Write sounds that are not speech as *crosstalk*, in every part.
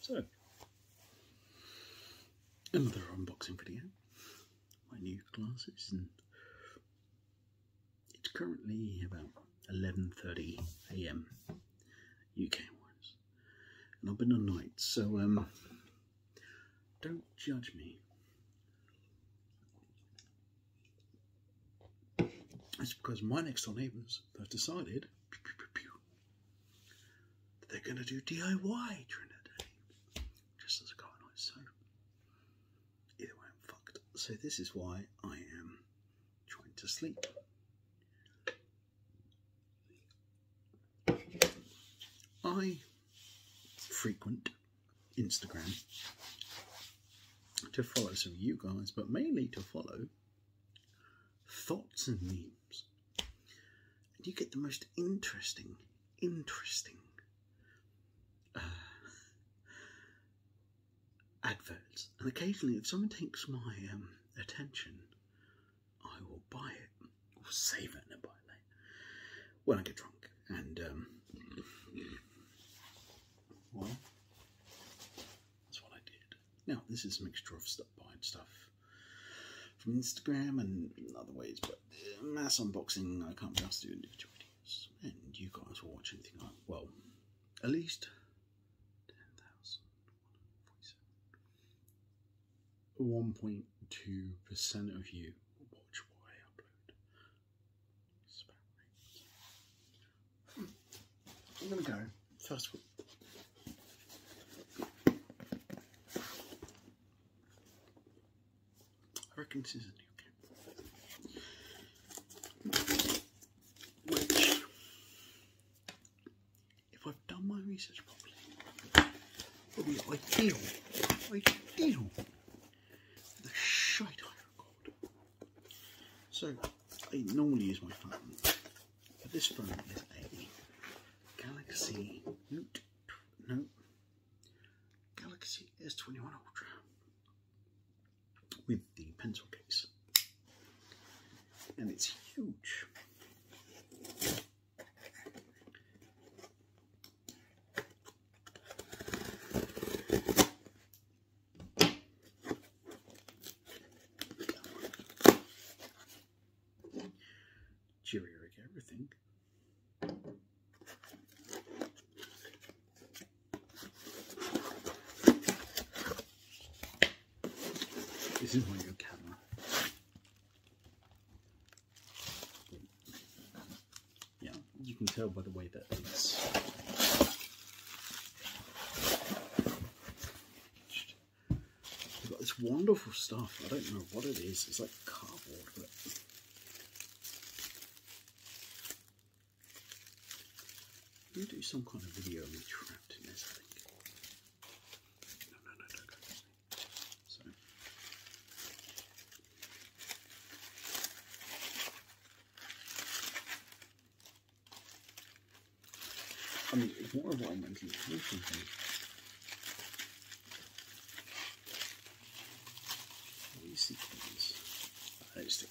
So, another unboxing video. My new glasses, and it's currently about 11:30 a.m. UK wise, and I've been on night, so um, don't judge me. It's because my next door neighbours have decided that they're going to do DIY during the day, just as a car So, either way, I'm fucked. So, this is why I am trying to sleep. I frequent Instagram to follow some of you guys, but mainly to follow thoughts and memes. And you get the most interesting, interesting uh, adverts. And occasionally, if someone takes my um, attention, I will buy it we'll save it and buy it When I get drunk, and um, well, that's what I did. Now this is a mixture of stuff, buying stuff from Instagram and other ways, but mass unboxing I can't just do individual videos. And you guys will watch anything like well, at least 1.2% of you watch what I upload. It's about am going to go first I reckon this is a new camera. Which, if I've done my research properly, will be ideal, ideal the shite So, I normally use my phone, but this phone is a Galaxy Note, Galaxy S21 Ultra with the pencil case. And it's huge. Cheerio everything. This is my new camera. Yeah, you can tell by the way that it's We've got this wonderful stuff. I don't know what it is. It's like cardboard, but you do some kind of video on me trapped in this, I think. I mean, it's more of what I mentioned These things. I just think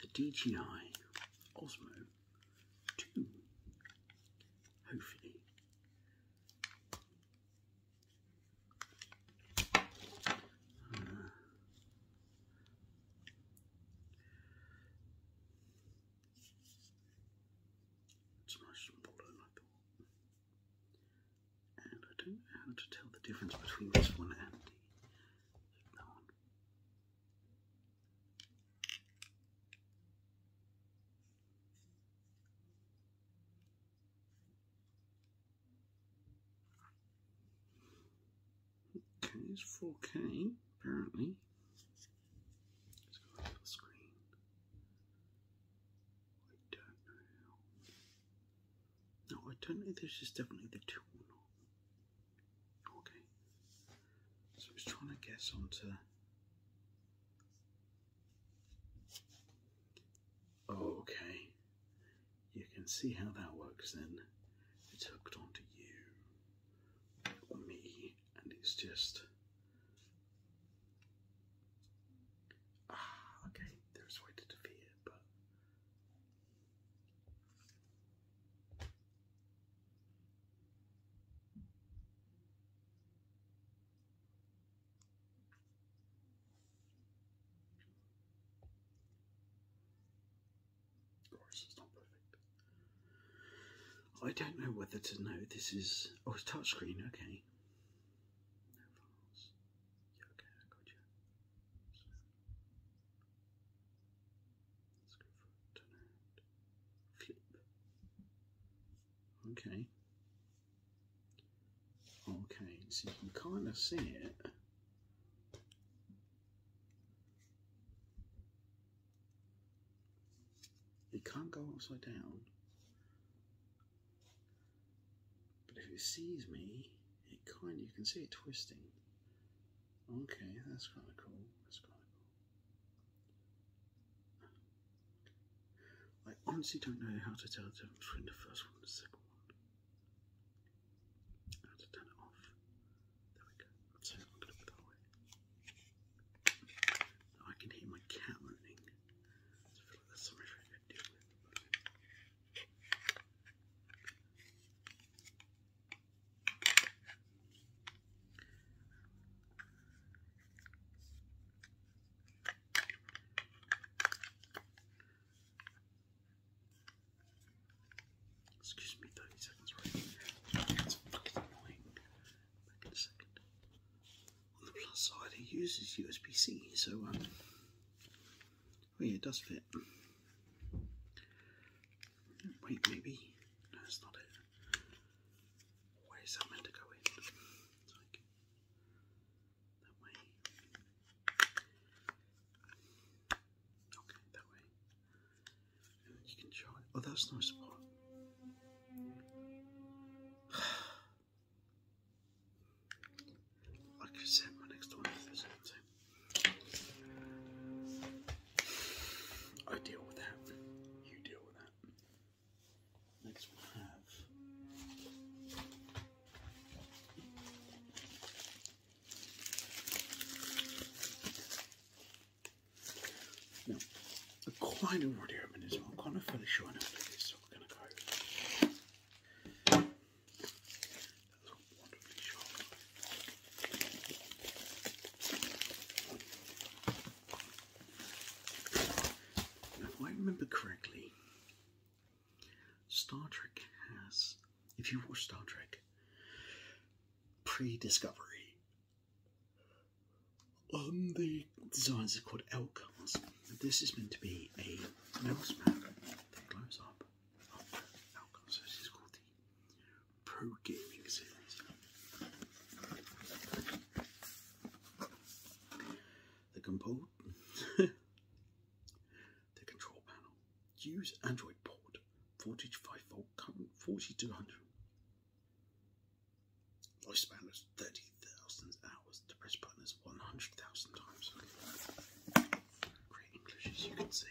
the DJI Osmo 2. Hopefully, uh, it's much smaller than I thought. And I don't know how to tell the difference between this one and the one. Okay, it's 4K apparently. Let's go to the screen. I don't know. No, I don't know this is definitely the two or Okay, so it's trying to guess onto. okay, you can see how that works then. It's hooked onto you, or me, and it's just. Ah, okay, there's a way to defeat it, but of course, it's not perfect. I don't know whether to know this is. Oh, it's touchscreen, okay. okay, Okay. Okay, so you can kind of see it. It can't go upside down. But if it sees me, it kind of, you can see it twisting. Okay, that's kind of cool. That's kind of cool. I honestly don't know how to tell the difference between the first one and the second one. How to turn it off. There we go. So I'm going to put that away. I can hear my cat moaning. that's something I could deal with. Excuse me, 30 seconds right. That's fucking annoying. Back in a second. On the plus side, it uses USB-C, so um, Oh yeah, it does fit. Wait, maybe no, it's not it. Where is that to go in? Okay, that way. you can show Oh, that's no spot. *sighs* I could my next one if there's anything. I deal with that. You deal with that. Next we have I've already opened as well. I'm kind of fairly sure it is, so going to go if I remember correctly, Star Trek has, if you watch Star Trek pre Discovery, on um, the designs are called L cars. This is meant to be a mouse pad that glows up this is called the Pro Gaming Series. The compo *laughs* control panel. Use Android port. Voltage: five volt current 4200. Lifespan is 30,000 hours. The press button is 100,000 times. Great English, as you can see.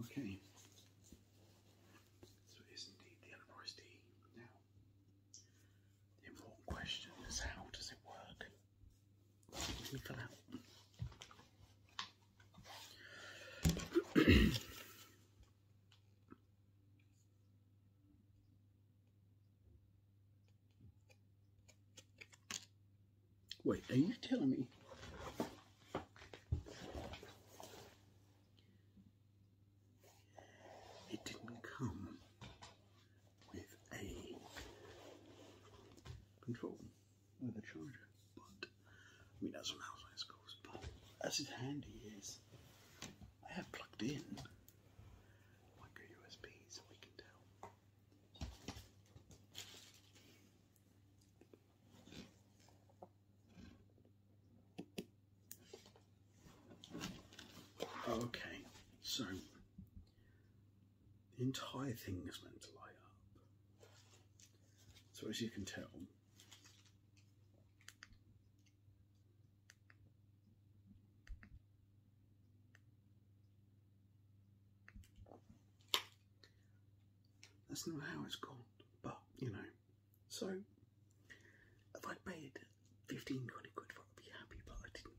Okay. So it is indeed the Enterprise Now, the important question is how does it work? Wait, are you telling me it didn't come with a control, with a charger. But I mean, that's on how science goes. But as it's handy is, I have plugged in micro USB so we can tell. Okay, so the entire thing is meant to light up. So, as you can tell, That's not how it's called, but you know. So, if i paid 15, 20 quid for it, I'd be happy, but I didn't.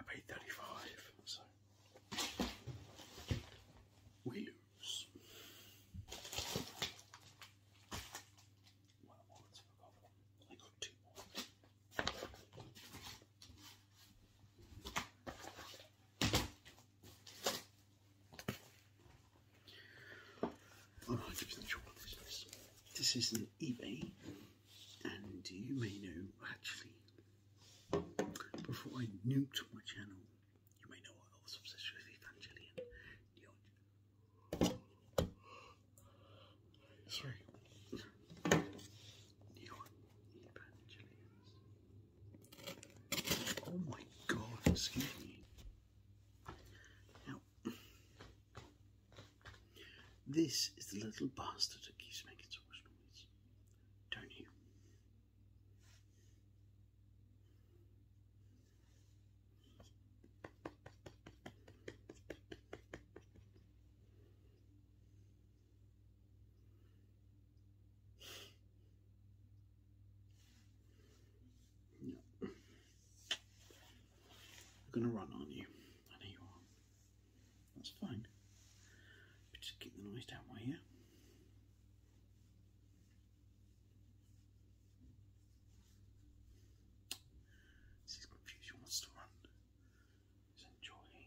I paid 35, so we lose. Well, I got two more. I'm 100 sure what this is. This is an eBay, and you may know actually, before I nuked my channel, you may know I was obsessed with Evangelion. Sorry. Neon Oh my god, excuse Now, this is the little bastard that keeps making so much noise down here. No. They're gonna run, on you? I know you are. That's fine. just keep the noise down right here. confused, she wants to run. enjoying,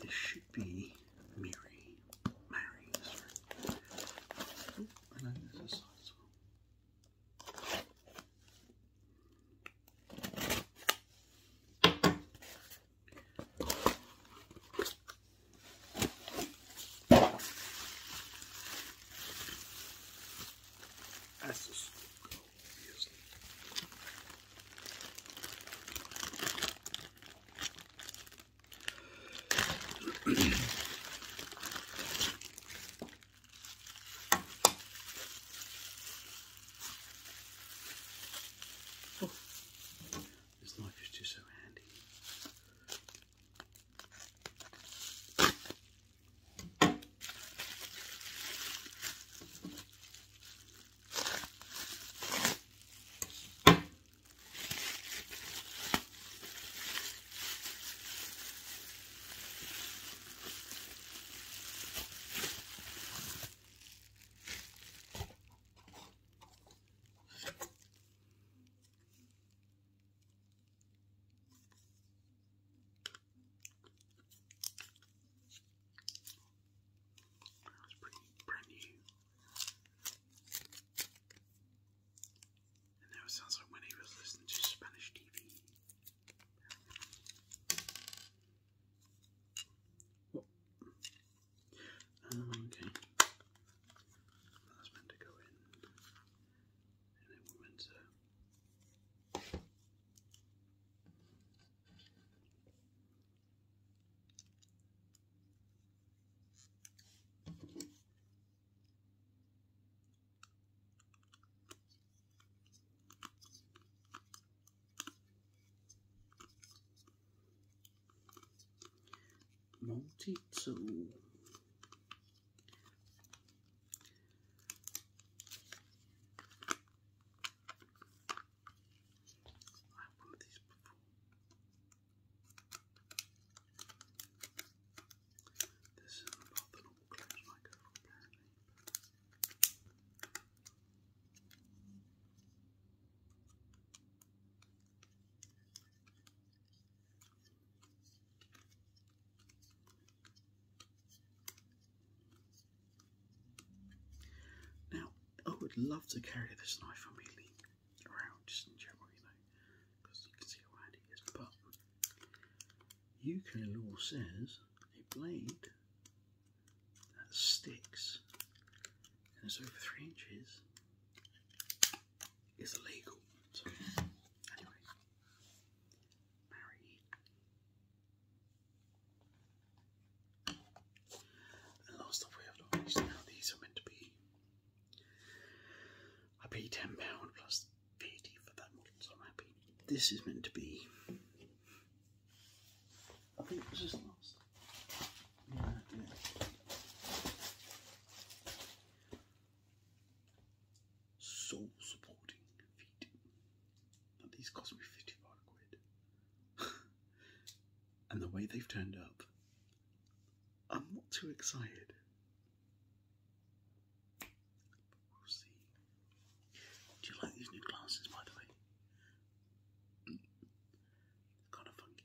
This should be Mary. Mary, sorry. Oh, and then there's a side That's just obviously oh, this knife is just so handy. That was pretty brand new. And now sounds like when he was listening to Spanish TV. Oh, okay. That's meant to go in multi-tool I had one of these before. This is um, about the normal clothes I go for apparently. But... Now, I would love to carry this knife on me around just in general, you because you can see how handy it is. But UK law says a blade that sticks and is over three inches is illegal. So, anyway, marry last stuff we have not now, these are meant to be. I paid £10 plus VAT for that so I'm happy. This is meant to be. I think it was last. Yeah, supporting feet. Now, these cost me 55 quid. *laughs* and the way they've turned up, I'm not too excited. But we'll see. Do you like these new glasses, by the way? Mm. kind of funky.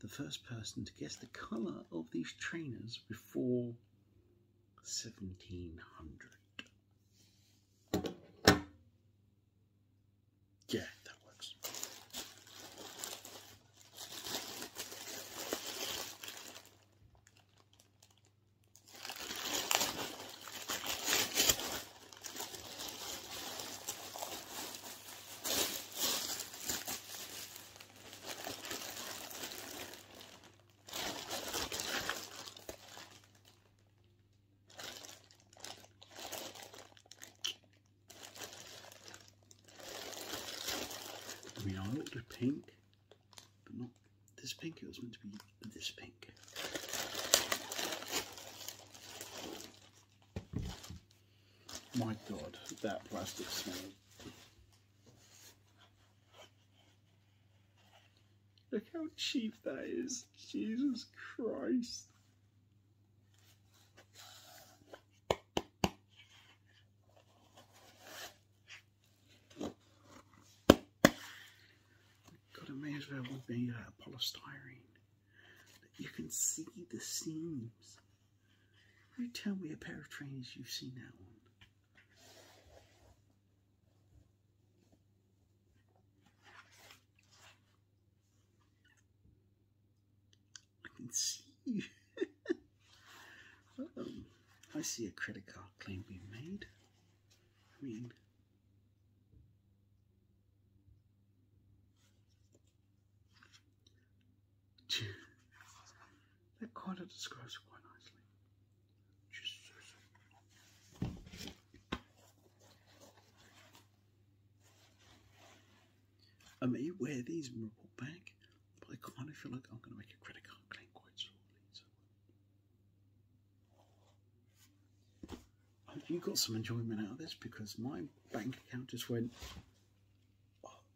the first person to guess the colour of these trainers before 1700. Yeah, that works. I mean, I ordered a pink, but not this pink. It was meant to be this pink. My God, that plastic smell. Look how cheap that is. Jesus Christ. God, it may as well be uh, polystyrene. But you can see the seams. You tell me a pair of trainers you've seen that one. I can see -oh. *laughs* I see a credit card claim being made. I mean, that kind of describes it quite nicely. I may um, wear these in report back, but I kind of feel like I'm going to make a credit card claim quite shortly. So. you got some enjoyment out of this because my bank account just went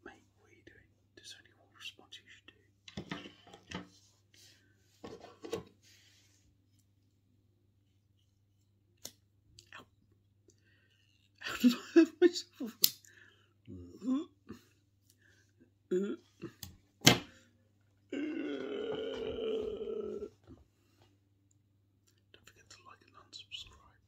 mate, what are you doing? There's only one response you should do. Ow. How *laughs* did I myself? Don't forget to like and unsubscribe.